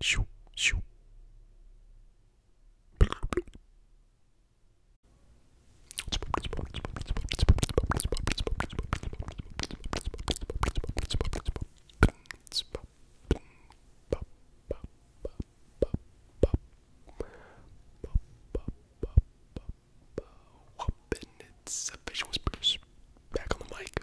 Shoo, shoo. Whoop, and it's a visual spruce. Back on the mic.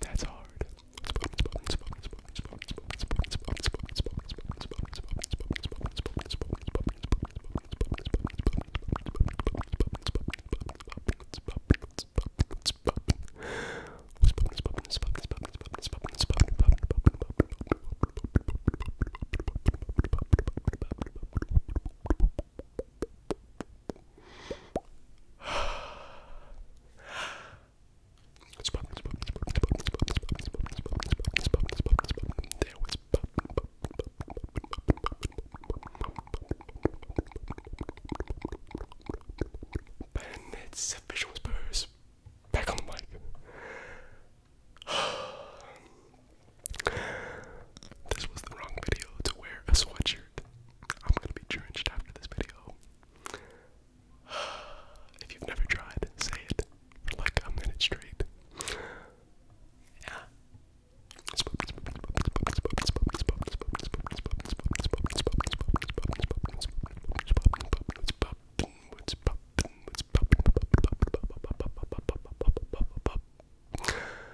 That's hard. There was and it's visual spurs back on the mic. this was the wrong video to wear a sweatshirt. I'm gonna be drenched after this video. If you've never tried, say it for like a minute straight.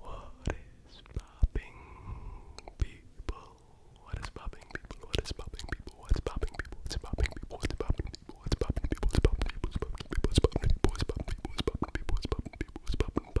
What is popping people? What is popping people? What is popping people? What's popping people? What's popping people? What's popping people? What's popping people? What's popping people? What's popping people? What's popping people? What's popping people? What's popping people? What's popping people?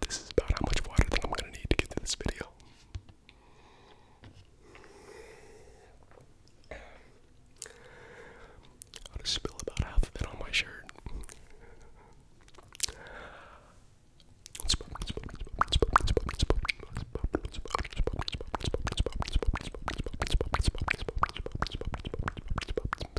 This is about how much water I think I'm gonna need to get through this video. I'll just spill about half of it on my shirt.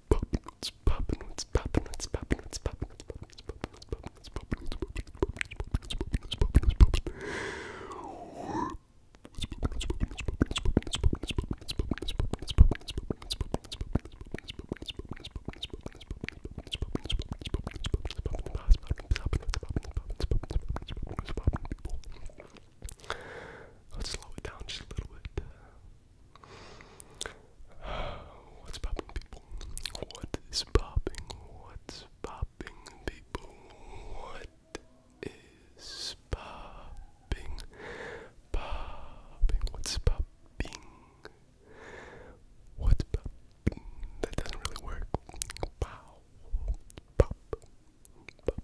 What's poppin'? What's poppin'? What's poppin'? What's poppin'? What's poppin'? What's poppin'? What's poppin'? What's poppin'? What's poppin'? What's poppin'? What's poppin'? Let's slow it down just a little bit. What's popping, people? What is popping? What's popping, people? What is popping? Popping. What's popping? What's popping? That doesn't really work. Pow. Pop. Pop.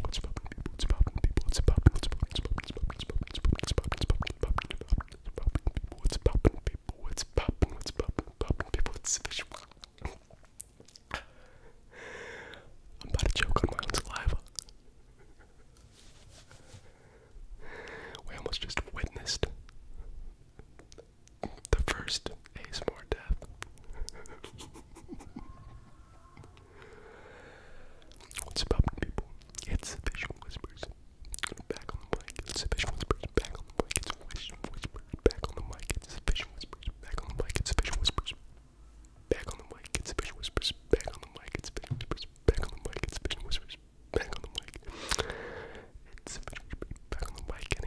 What's poppin', people? What's poppin', people? What's poppin'? What's poppin'? What's poppin'? What's poppin'? What's poppin'? What's poppin'? What's poppin', people? What's poppin'? What's poppin'? Poppin', people? What's visual? I'm about to choke on my own saliva. We almost just witnessed the first ASMR death. What's poppin', people? It's official whispers. Back on the mic. It's official whispers. Back on the mic. It's official whispers. Back on the mic. It's official whispers. Back on the mic. It's official whispers. Back on the mic. It's official whispers. Back on the mic. It's official whispers. Back on the mic. It's official whispers. Back on the mic. It's official whispers. Back on the mic. And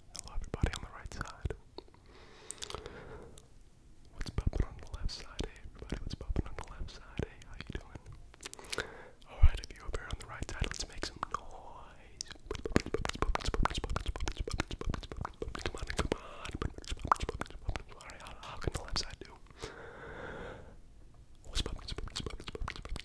Hello, everybody on the right side. What's poppin' on the left side, Everybody, what's poppin' on the left side, eh? How you doing? Alright, if you're over on the right side, let's make some noise. Come on, come on. Alright, how, how can the left side do?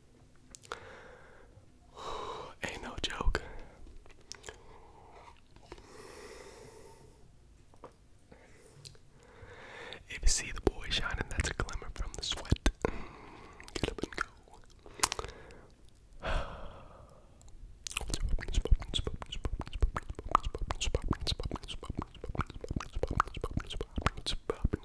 Ain't no joke. If you see the boy shining, that's a glimmer from the sweat. Get up and go.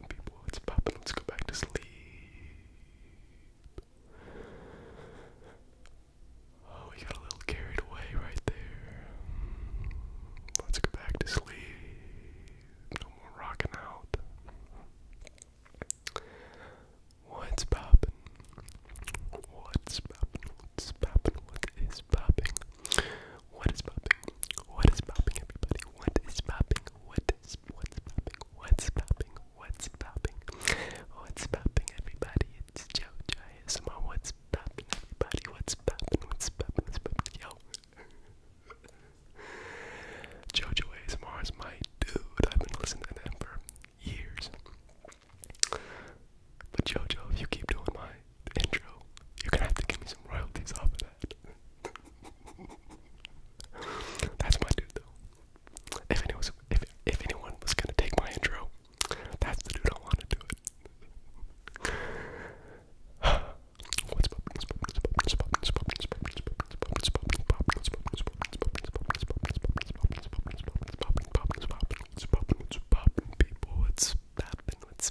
popping, popping. Let's go back to sleep. Oh, we got a little carried away right there. Let's go back to sleep. No more rocking out. What's popping? What's popping? What's popping? What is popping? What is popping? What is popping, everybody? What is popping? What is what's popping? What's popping? What's popping? What's popping, everybody? It's JoJo It's ASMR. What's popping, everybody? What's popping? What's popping? What's popping? Yo. JoJo ASMR is my dude. I've been listening to them for years. But JoJo, if you keep doing my intro. You're gonna have to give me some royalties off of that. that's my dude, though. If anyone if if anyone was gonna take my intro, that's the dude I want to do it. What's poppin'? People, what's poppin'? What's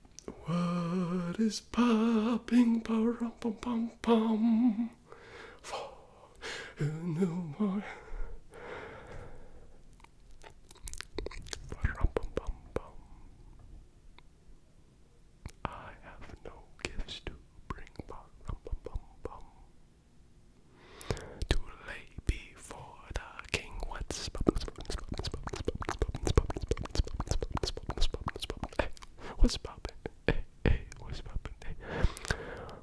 What is popping? Pum pum pum pum. For no more. I have no gifts to bring. Too lay before the king. What's poppin', poppin', poppin', poppin', poppin', poppin', poppin', poppin', poppin', poppin', poppin', hey, what's poppin'? Hey, hey, what's poppin'? Hey,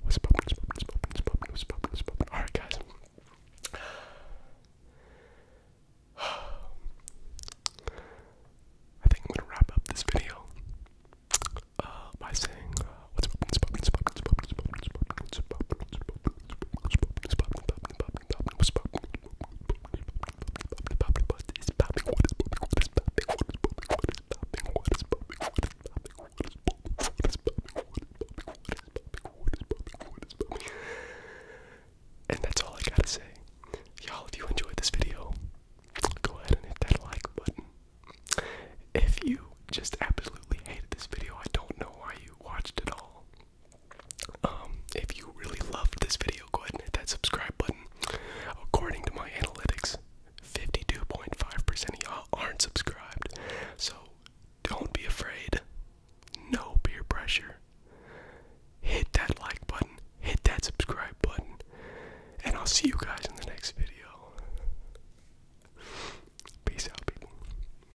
what's poppin', poppin', poppin', poppin', what's poppin', what's poppin'? All right, guys. I think I'm gonna wrap up this video uh, by saying uh, what's poppin', poppin', poppin', poppin', poppin', poppin', poppin', poppin', poppin', and that's all I gotta say. Y'all, if you enjoyed this video, go ahead and hit that like button. If you just absolutely hated this video, I don't know why you watched it all. Um, if you really loved this video, go ahead and hit that subscribe button. According to my analytics, 52.5% of y'all aren't subscribed. So don't be afraid. No peer pressure. Hit that like button, hit that subscribe button, and I'll see you guys in the next video. Peace out, people.